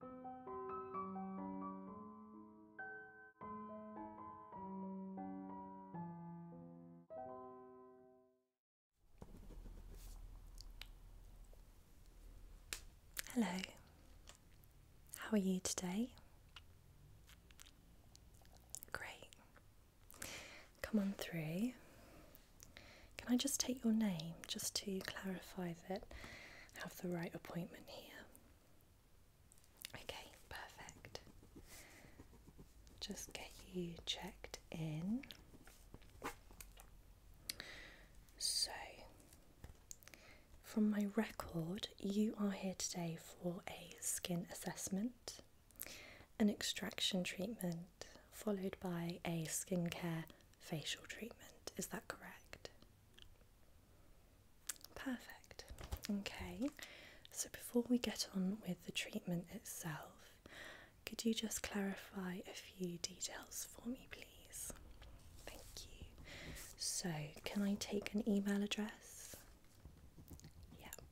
Hello, how are you today? Great. Come on through. Can I just take your name just to clarify that have the right appointment here. Okay, perfect. Just get you checked in. So, from my record, you are here today for a skin assessment, an extraction treatment, followed by a skincare facial treatment. Is that correct? Perfect. Okay, so before we get on with the treatment itself, could you just clarify a few details for me, please? Thank you. So, can I take an email address? Yeah.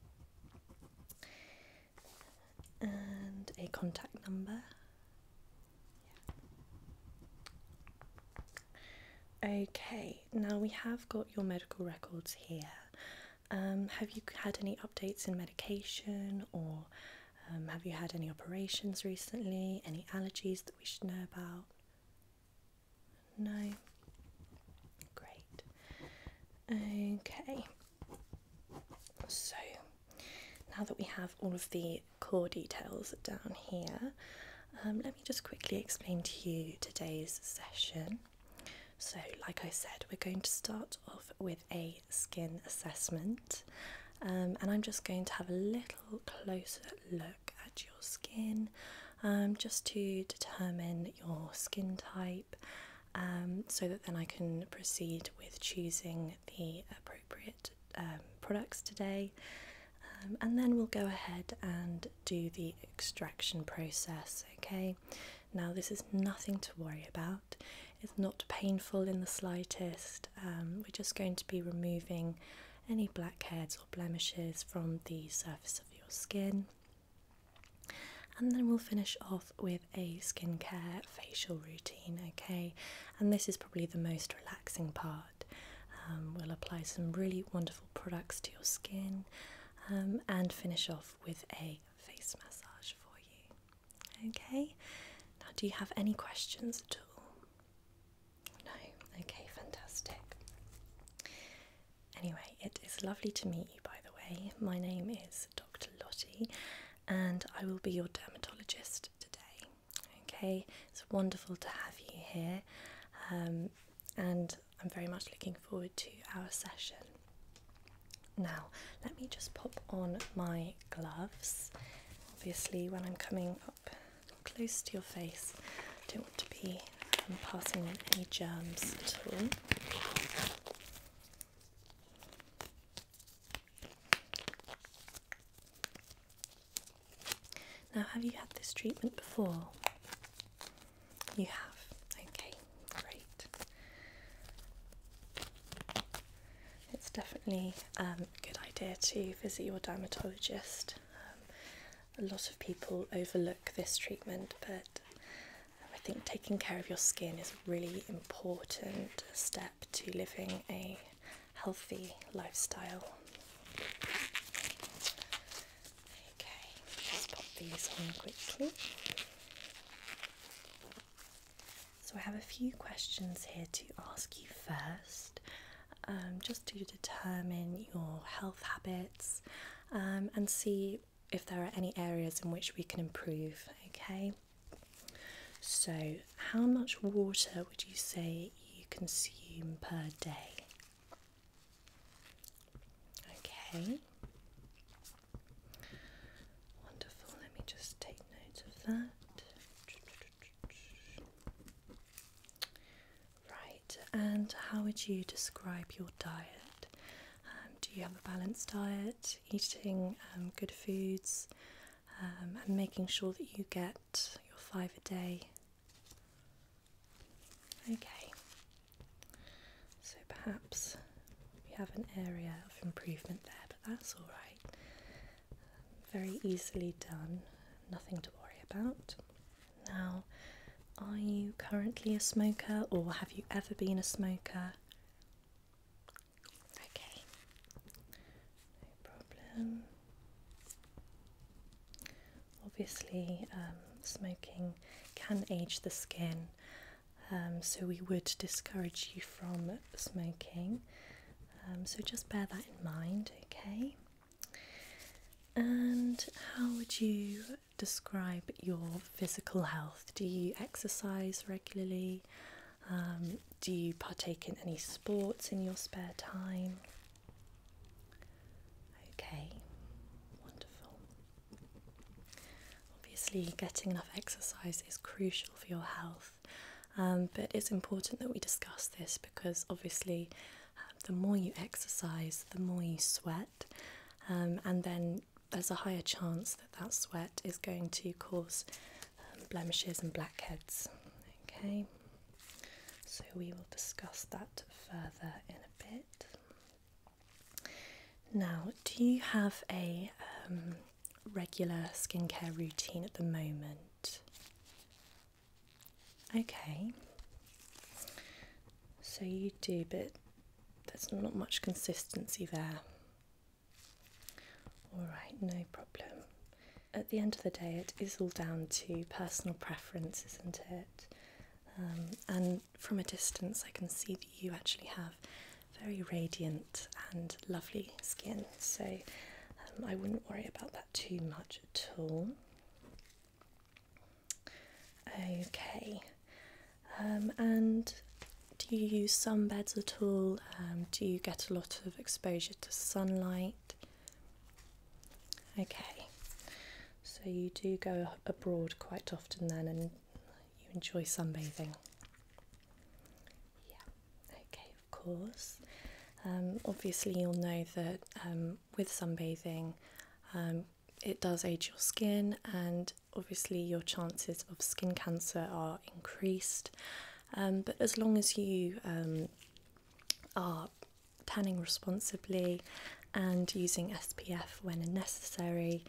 And a contact number? Okay, now we have got your medical records here. Um, have you had any updates in medication or um, have you had any operations recently? Any allergies that we should know about? No? Great. Okay, so now that we have all of the core details down here. Um, let me just quickly explain to you today's session. So, like I said, we're going to start off with a skin assessment, um, and I'm just going to have a little closer look at your skin um, just to determine your skin type. so that then I can proceed with choosing the appropriate um, products today, um, and then we'll go ahead and do the extraction process. Okay, now this is nothing to worry about, it's not painful in the slightest. Um, we're just going to be removing any blackheads or blemishes from the surface of your skin. And then we'll finish off with a skincare facial routine, okay? And this is probably the most relaxing part um, we'll apply some really wonderful products to your skin um, and finish off with a face massage for you. Okay, now do you have any questions at all? No, okay, fantastic. Anyway, it is lovely to meet you, by the way. My name is Dr. Lottie, and I will be your dermatologist today. Okay, it's wonderful to have you here, um, and I'm very much looking forward to our session. Now, let me just pop on my gloves. Obviously, when I'm coming up close to your face, I don't want to be um, passing on any germs at all. Now, have you had this treatment before? You have. Okay, great. It's definitely um, a good idea to visit your dermatologist. Um, a lot of people overlook this treatment, but um, I think taking care of your skin is a really important step to living a healthy lifestyle. Okay, let's pop these on quickly. So, I have a few questions here to ask you first, um, just to determine your health habits um, and see if there are any areas in which we can improve. Okay, so how much water would you say you consume per day? Okay. Wonderful. Let me just take note of that. Right, and how would you describe your diet? Um, do you have a balanced diet, eating um, good foods, um, and making sure that you get your five a day. Okay, so perhaps we have an area of improvement there, but that's all right. Very easily done, nothing to worry about. Now, are you currently a smoker or have you ever been a smoker? Okay, no problem. Obviously, um, smoking can age the skin, um, so we would discourage you from smoking. Um, so just bear that in mind, okay? And how would you describe your physical health? Do you exercise regularly? Um, do you partake in any sports in your spare time? Okay, wonderful. Obviously, getting enough exercise is crucial for your health, um, but it's important that we discuss this because obviously, um, the more you exercise, the more you sweat, and then there's a higher chance that that sweat is going to cause blemishes and blackheads. Okay, so we will discuss that further in a bit. Now, do you have a um, regular skincare routine at the moment? Okay, so you do, but there's not much consistency there. Alright, no problem at the end of the day, it is all down to personal preference, isn't it? Um, and from a distance, I can see that you actually have very radiant and lovely skin, so um, I wouldn't worry about that too much at all. Okay, um, and do you use sunbeds at all? do you get a lot of exposure to sunlight? Okay, so you do go abroad quite often then and you enjoy sunbathing? Yeah, okay, of course. Um, obviously, you'll know that um, with sunbathing, um, it does age your skin, and obviously, your chances of skin cancer are increased. but as long as you are tanning responsibly and using SPF when necessary.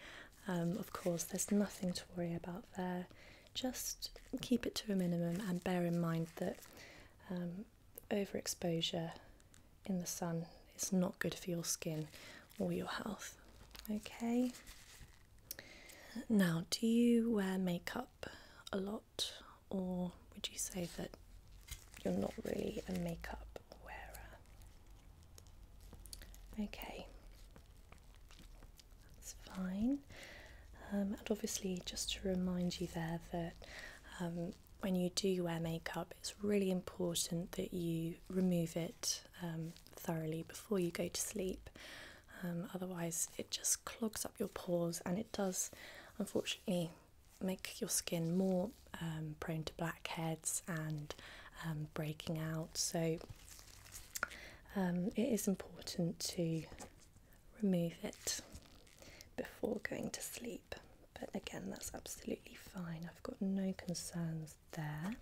Um, of course, there's nothing to worry about there. Just keep it to a minimum and bear in mind that um, overexposure in the sun is not good for your skin or your health. Okay. Now, do you wear makeup a lot or would you say that you're not really a makeup wearer? Okay, that's fine. Um, and obviously, just to remind you there that um, when you do wear makeup, it's really important that you remove it um, thoroughly before you go to sleep. Um, otherwise, it just clogs up your pores and it does unfortunately make your skin more um, prone to blackheads and um, breaking out. So, it is important to remove it before going to sleep. But again, that's absolutely fine. I've got no concerns there.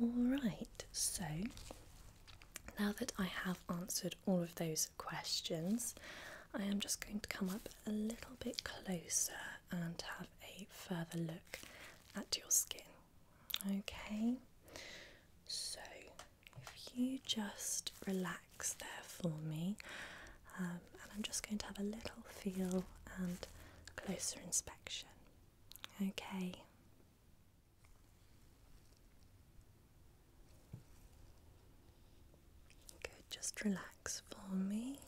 All right, so now that I have answered all of those questions, I am just going to come up a little bit closer and have a further look at your skin. Okay, so if you just relax there for me, um, and I'm just going to have a little feel and closer inspection. Okay. Good, just relax for me.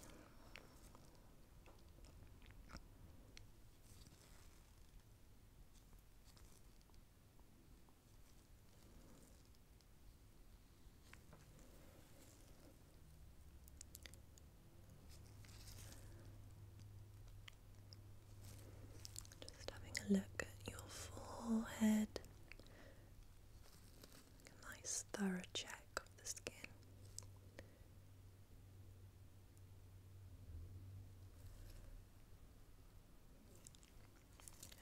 Just having a look at your forehead. nice thorough check of the skin.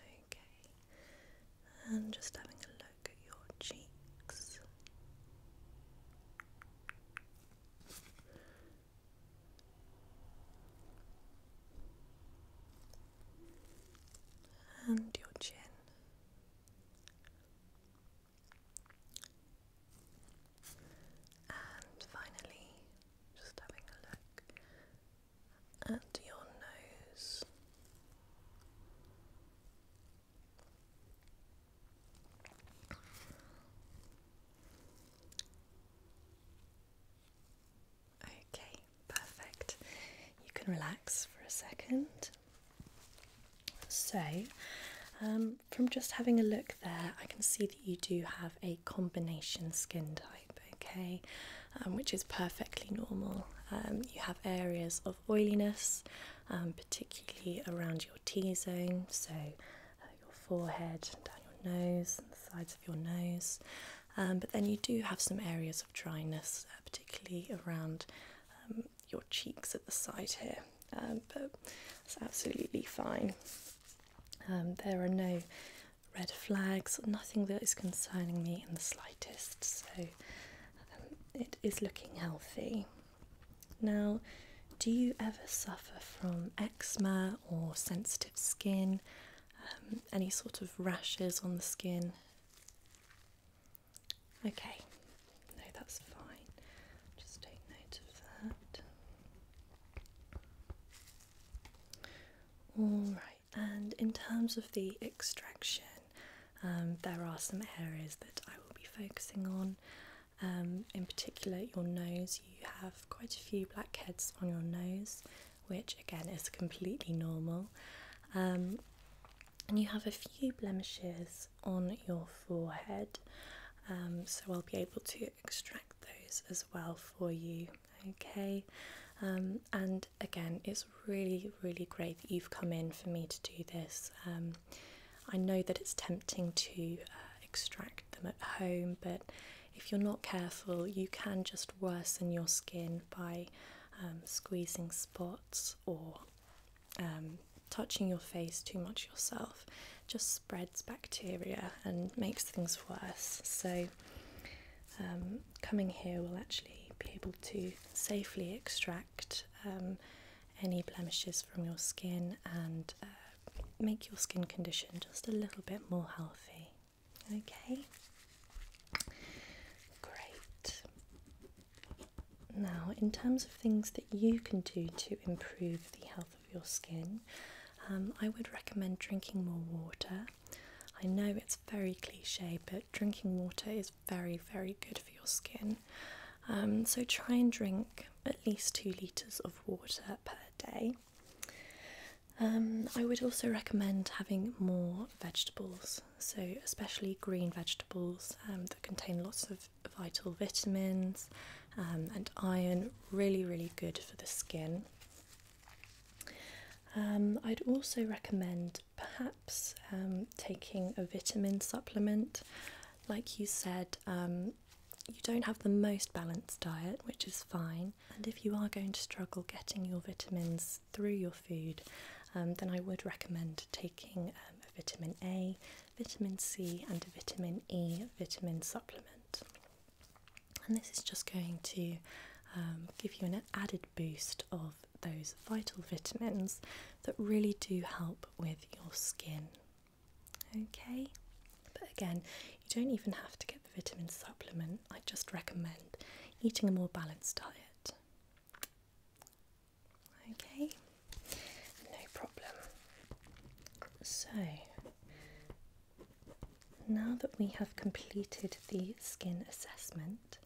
Okay, and just having a look at your cheeks and your chin. And finally, just having a look at your nose. Okay, perfect. You can relax for a second. So, um, from just having a look there, I can see that you do have a combination skin type, okay, um, which is perfectly normal. Um, you have areas of oiliness, particularly around your T zone, so uh, your forehead, down your nose, the sides of your nose. Um, but then you do have some areas of dryness, uh, particularly around um, your cheeks at the side here. Um, but it's absolutely fine. there are no red flags, nothing that is concerning me in the slightest. So it is looking healthy. Now, do you ever suffer from eczema or sensitive skin, um, any sort of rashes on the skin. Okay, no, that's fine. Just take note of that. Alright, and in terms of the extraction, um, there are some areas that I will be focusing on. Um, in particular, your nose, you have quite a few blackheads on your nose, which again is completely normal. Um, and you have a few blemishes on your forehead, um, so I'll be able to extract those as well for you. Okay, um, and again, it's really, really great that you've come in for me to do this. I know that it's tempting to uh, extract them at home, but if you're not careful, you can just worsen your skin by um, squeezing spots or um, touching your face too much yourself. Just spreads bacteria and makes things worse. So, um, coming here will actually be able to safely extract any blemishes from your skin and uh, make your skin condition just a little bit more healthy. Okay? Great. Now, in terms of things that you can do to improve the health of your skin, um, I would recommend drinking more water. I know it's very cliche, but drinking water is very, very good for your skin. Um, so try and drink at least two litres of water per day. Um, I would also recommend having more vegetables, so especially green vegetables um, that contain lots of vital vitamins um, and iron, really, really good for the skin. Um, I'd also recommend perhaps taking a vitamin supplement. Like you said, you don't have the most balanced diet, which is fine. And if you are going to struggle getting your vitamins through your food, um, then I would recommend taking um, a vitamin A, vitamin C, and a vitamin E vitamin supplement. And this is just going to um, give you an added boost of those vital vitamins that really do help with your skin. Okay. But again, you don't even have to get the vitamin supplement, I just recommend eating a more balanced diet. Okay, no problem. So, now that we have completed the skin assessment,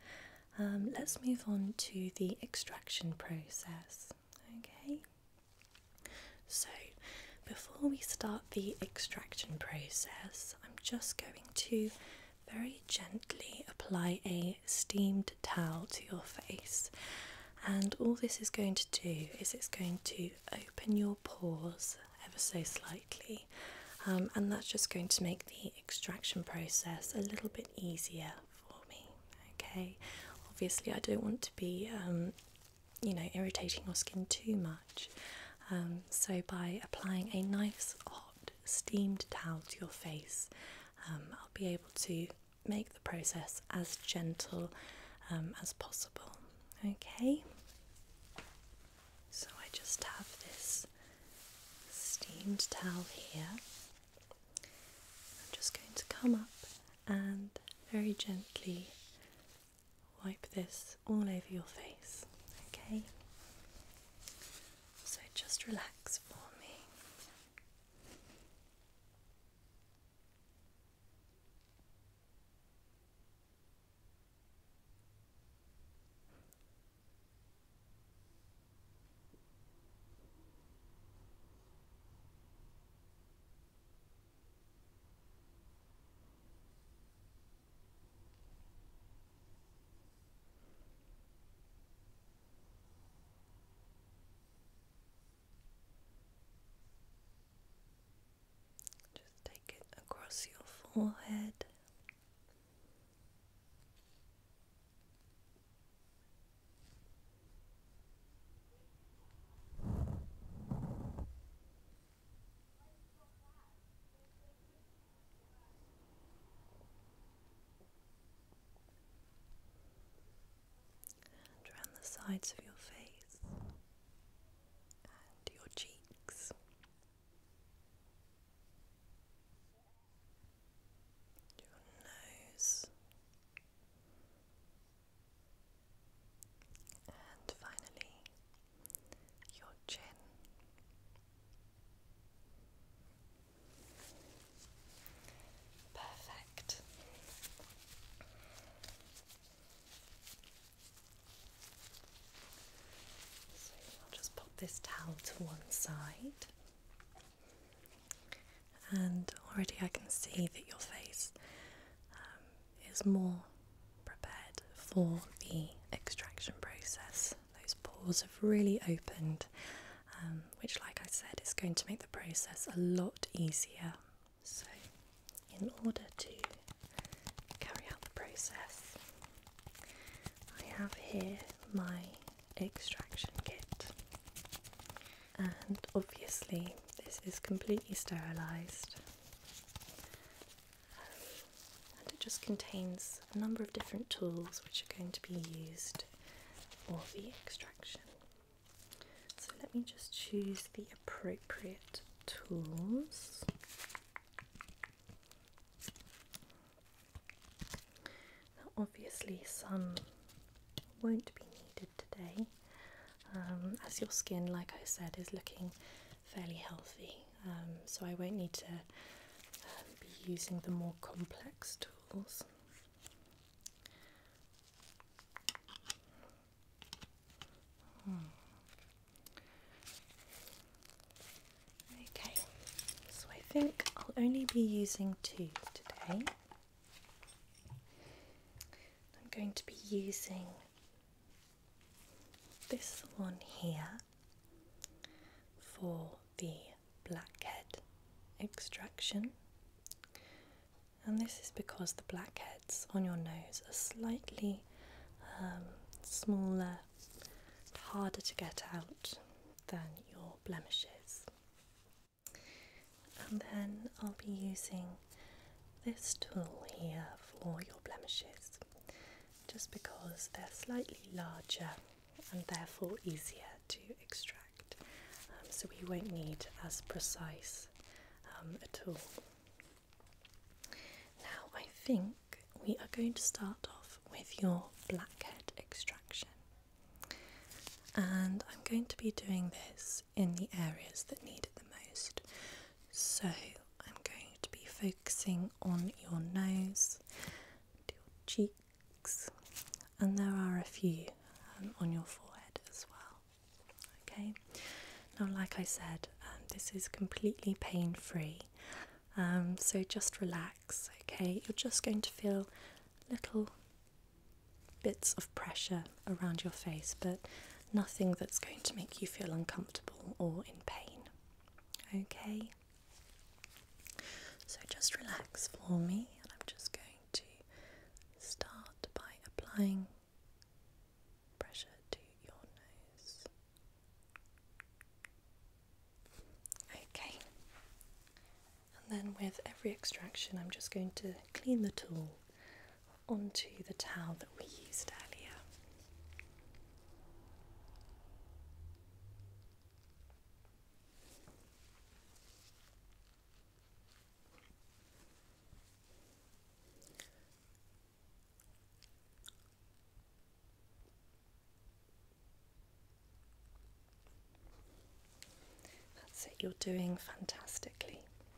um, let's move on to the extraction process. Okay, so, before we start the extraction process, I'm just going to very gently apply a steamed towel to your face. And all this is going to do is it's going to open your pores ever so slightly, um, and that's just going to make the extraction process a little bit easier for me. Okay, obviously, I don't want to be um, you know irritating your skin too much. Um, so by applying a nice hot steamed towel to your face, um, I'll be able to make the process as gentle um, as possible. Okay. So I just have this steamed towel here. I'm just going to come up and very gently wipe this all over your face, okay? So just relax for me. Just take it across your forehead. And around the sides of your face and your cheeks. Your nose, and finally, your chin. Perfect. So I'll just pop this towel to one side. And already I can see that your face um, is more prepared for the extraction process. Those pores have really opened, um, which, like I said, is going to make the process a lot easier. So, in order to carry out the process, I have here my extraction kit, and obviously, this is completely sterilised and it just contains a number of different tools which are going to be used for the extraction. So let me just choose the appropriate tools. Now, obviously, some won't be needed today, um, as your skin, like I said, is looking fairly healthy. Um, so I won't need to um, be using the more complex tools. Hmm. Okay, so I think I'll only be using two today. I'm going to be using this one here for the blackhead extraction, and this is because the blackheads on your nose are slightly um, smaller harder to get out than your blemishes. And then I'll be using this tool here for your blemishes just because they're slightly larger and therefore easier to extract. Um, so we won't need as precise um, a tool. Now I think we are going to start off with your blackhead extraction. And I'm going to be doing this in the areas that need it the most. So I'm going to be focusing on your nose, your cheeks, and there are a few um, on your forehead as well. Okay, now, like I said, um, this is completely pain free. Um, so just relax, okay? You're just going to feel little bits of pressure around your face, but nothing that's going to make you feel uncomfortable or in pain. Okay? So just relax for me, and I'm just going to start by applying pressure to your nose. Okay, and then with every extraction, I'm just going to clean the tool onto the towel that we used earlier. That's it, you're doing fantastically.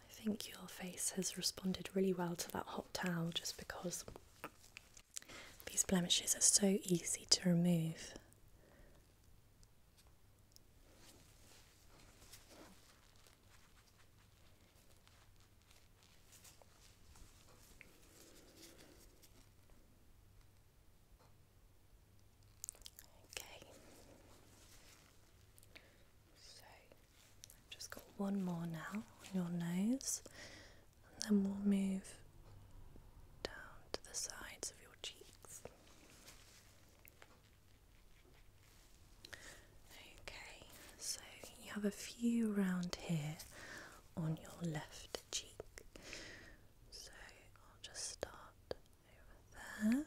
I think your face has responded really well to that hot towel just because these blemishes are so easy to remove. Okay. So I've just got one more now on your nose, and then we'll move down to the sides of your cheeks. Okay, so you have a few round here on your left cheek. So I'll just start over there.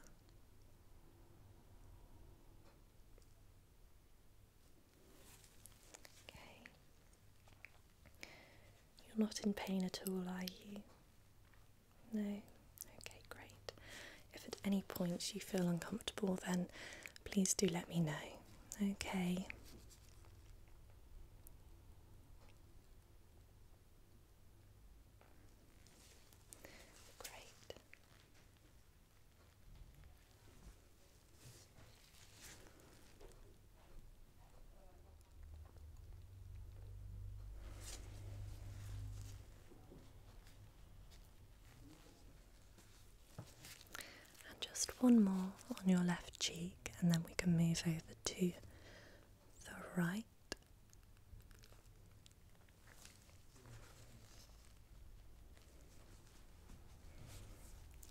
You're not in pain at all, are you? No? Okay, great. If at any point you feel uncomfortable, then please do let me know. Okay. Great just one more on your left cheek, and then we can move over to the right.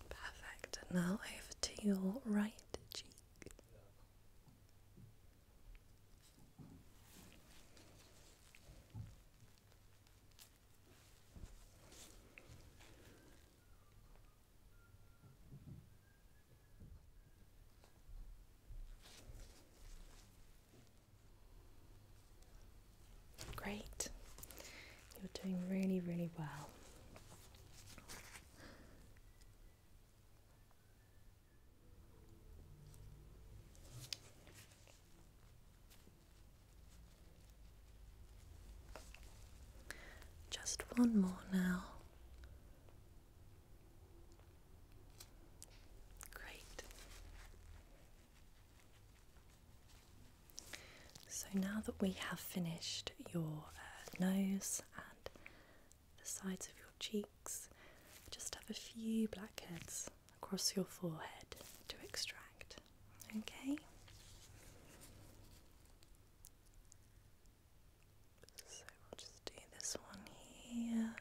Perfect. And now over to your right cheek. Great. You're doing really, really well. Just one more now. Great. So now that we have finished your uh, nose and the sides of your cheeks, just have a few blackheads across your forehead to extract. Okay? So we'll just do this one here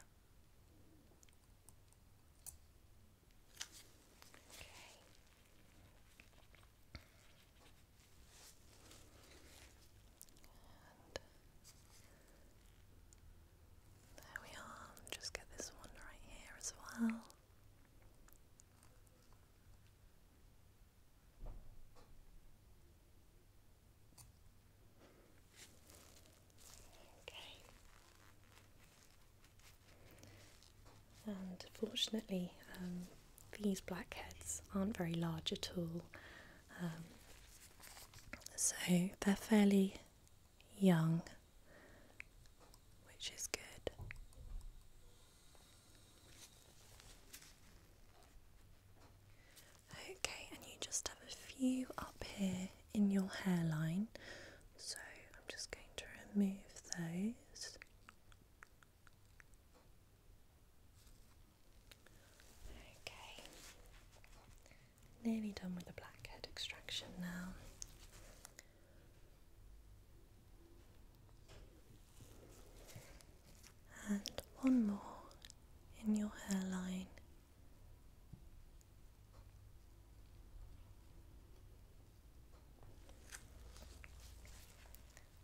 Okay. there we are. Just get this one right here as well. Okay. And fortunately, um, these blackheads aren't very large at all, um, so they're fairly young, which is good. Okay, and you just have a few up here in your hairline. So I'm just going to remove those. Okay, nearly done with the blackhead extraction now. And one more in your hairline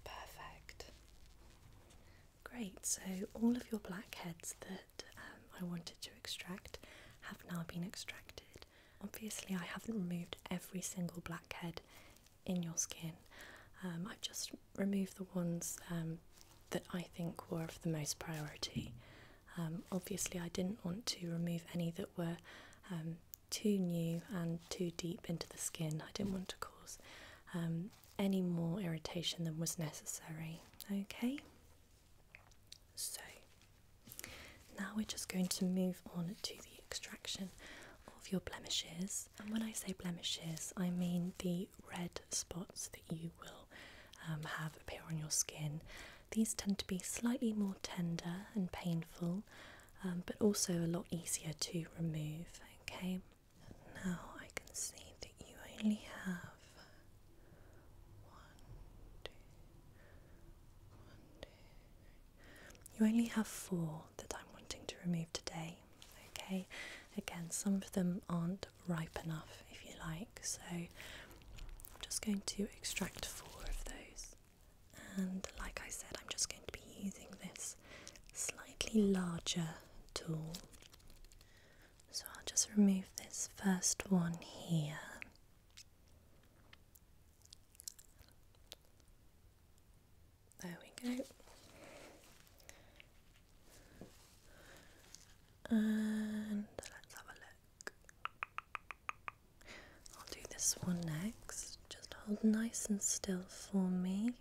Perfect. Great, so all of your blackheads that um, I wanted to extract have now been extracted. Obviously, I haven't removed every single blackhead in your skin, um, I've just removed the ones um, that I think were of the most priority. Um, obviously, I didn't want to remove any that were um, too new and too deep into the skin. I didn't want to cause um, any more irritation than was necessary. Okay, so now we're just going to move on to the extraction of your blemishes. And when I say blemishes, I mean the red spots that you will have appear on your skin these tend to be slightly more tender and painful, um, but also a lot easier to remove. Okay, now I can see that you only have one, two, one, two. You only have four that I'm wanting to remove today. Okay, again, some of them aren't ripe enough, if you like. So I'm just going to extract four of those. And like I said, I'm just going to be using this slightly larger tool. So I'll just remove this first one here. There we go. And let's have a look. I'll do this one next. Just hold nice and still for me.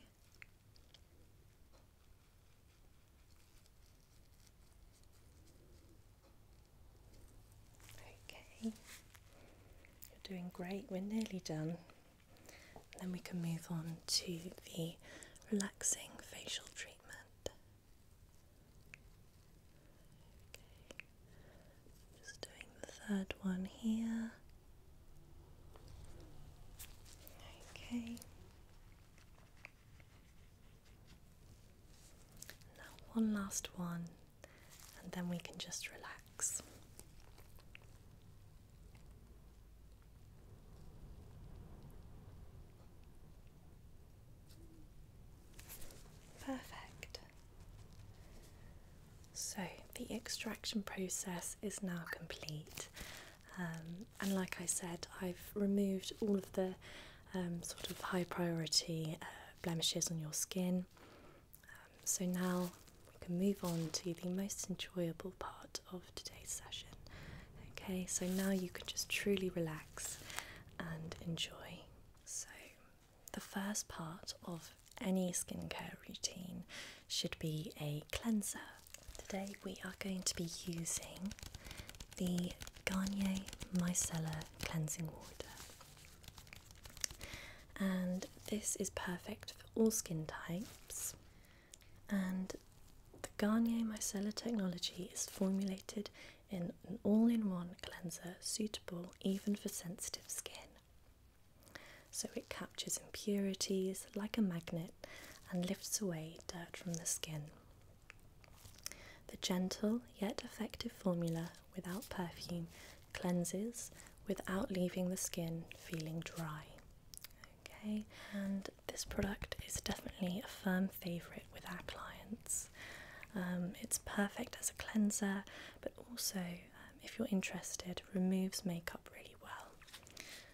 Okay, you're doing great, we're nearly done. Then we can move on to the relaxing facial treatment. Just doing the third one here. Okay. Now, one last one, and then we can just relax. Perfect. So the extraction process is now complete, um, and like I said, I've removed all of the um, sort of high priority uh, blemishes on your skin. Um, so now we can move on to the most enjoyable part of today's session. Okay, so now you can just truly relax and enjoy. So, the first part of any skincare routine should be a cleanser. Today, we are going to be using the Garnier Micellar Cleansing Water. And this is perfect for all skin types. And the Garnier Micellar technology is formulated in an all in one cleanser suitable even for sensitive skin. So it captures impurities like a magnet and lifts away dirt from the skin. The gentle yet effective formula without perfume cleanses without leaving the skin feeling dry. Okay, and this product is definitely a firm favourite with our clients. Um, it's perfect as a cleanser, but also, um, if you're interested, removes makeup really well.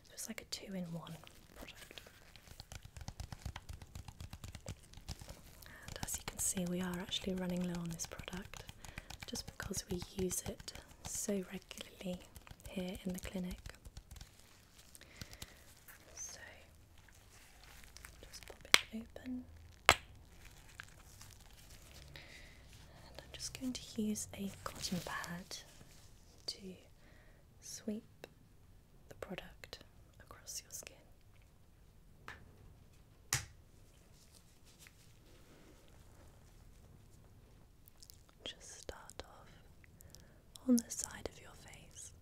So it's like a two in one product. And as you can see, we are actually running low on this product just because we use it so regularly here in the clinic. So just pop it open. And I'm just going to use a cotton pad to sweep the product across your skin. Just start off on the side of your face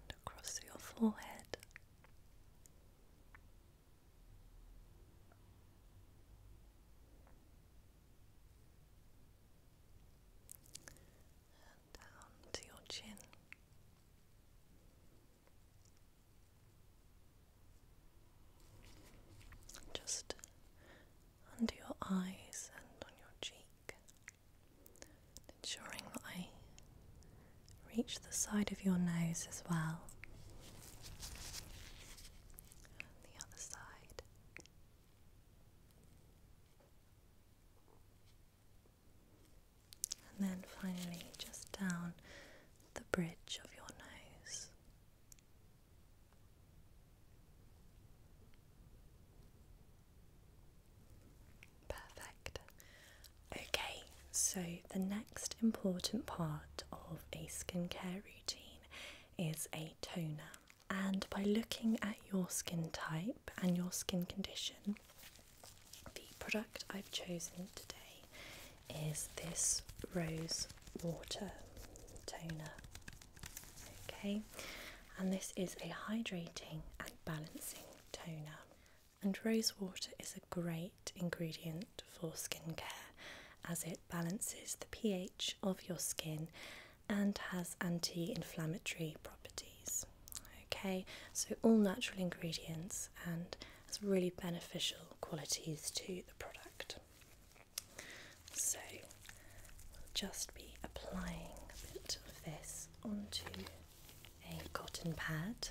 and across your forehead. And down to your chin, just under your eyes and on your cheek, ensuring that I reach the side of your nose as well, the other side and then finally just down the bridge of your nose. Perfect. Okay, so the next important part of a skincare routine is a toner. And by looking at your skin type, and your skin condition, the product I've chosen today is this Rose Water Toner. Okay, and this is a hydrating and balancing toner. And rose water is a great ingredient for skincare as it balances the pH of your skin and has anti inflammatory properties. Okay, so all natural ingredients and has really beneficial qualities to the product. So we'll just be applying a bit of this onto a cotton pad.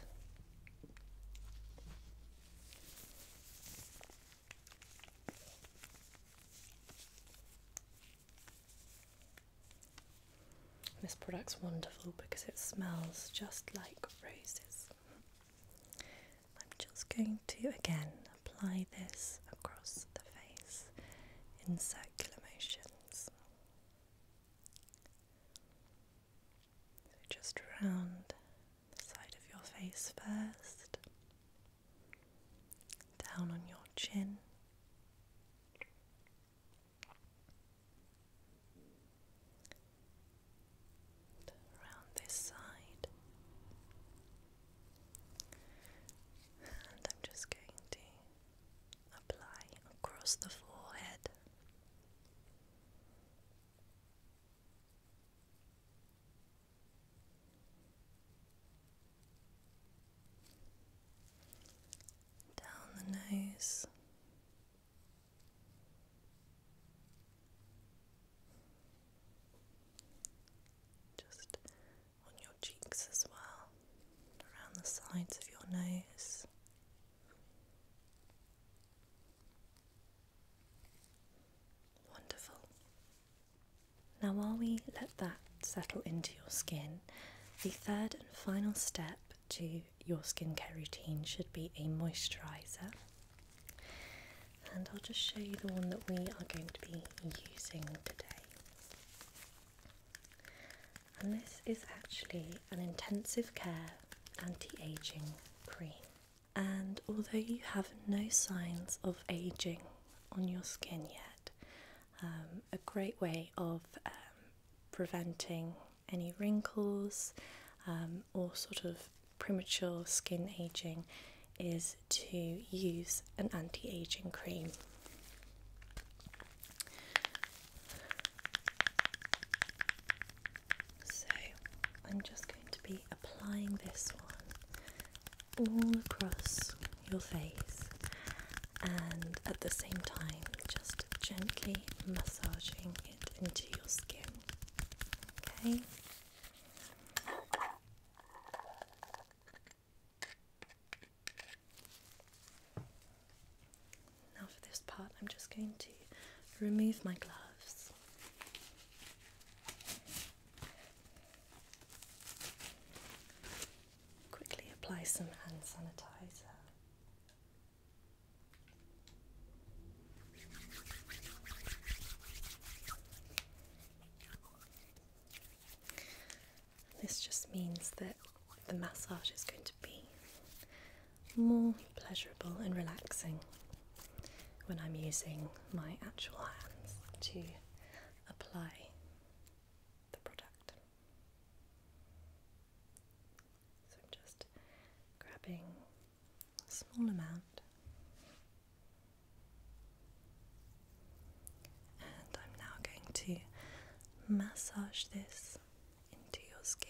This product's wonderful because it smells just like roses. I'm just going to again apply this across the face in circular motions. So just around the side of your face first, down on your chin, around this side, and I'm just going to apply across the forehead. Down the nose, just on your cheeks as well, around the sides of your nose. Wonderful. Now, while we let that settle into your skin, the third and final step to your skincare routine should be a moisturizer. And I'll just show you the one that we are going to be using today. And this is actually an intensive care anti aging cream. And although you have no signs of aging on your skin yet, um, a great way of um, preventing any wrinkles um, or sort of premature skin aging is to use an anti aging cream. So I'm just going to be applying this one all across your face and at the same time just gently massaging it into your skin. Okay. Now, for this part, I'm just going to remove my gloves. Quickly apply some hand sanitizer. This just means that the massage is going to be more pleasurable and relaxing when I'm using my actual hands to apply the product. So I'm just grabbing a small amount and I'm now going to massage this into your skin.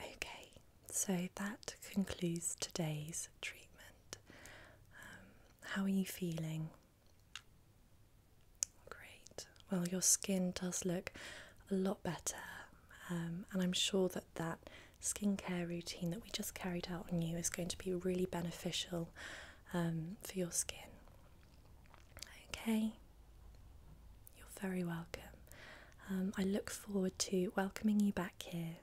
Okay, so that concludes today's treatment. Um, how are you feeling? Great. Well, your skin does look a lot better, um, and I'm sure that that skincare routine that we just carried out on you is going to be really beneficial um, for your skin. Okay, you're very welcome. Um, I look forward to welcoming you back here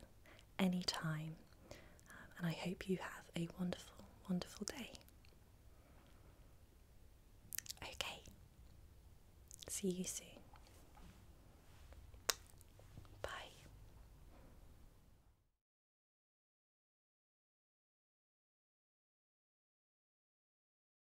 anytime, um, and I hope you have a wonderful, wonderful day. Okay, see you soon. Bye.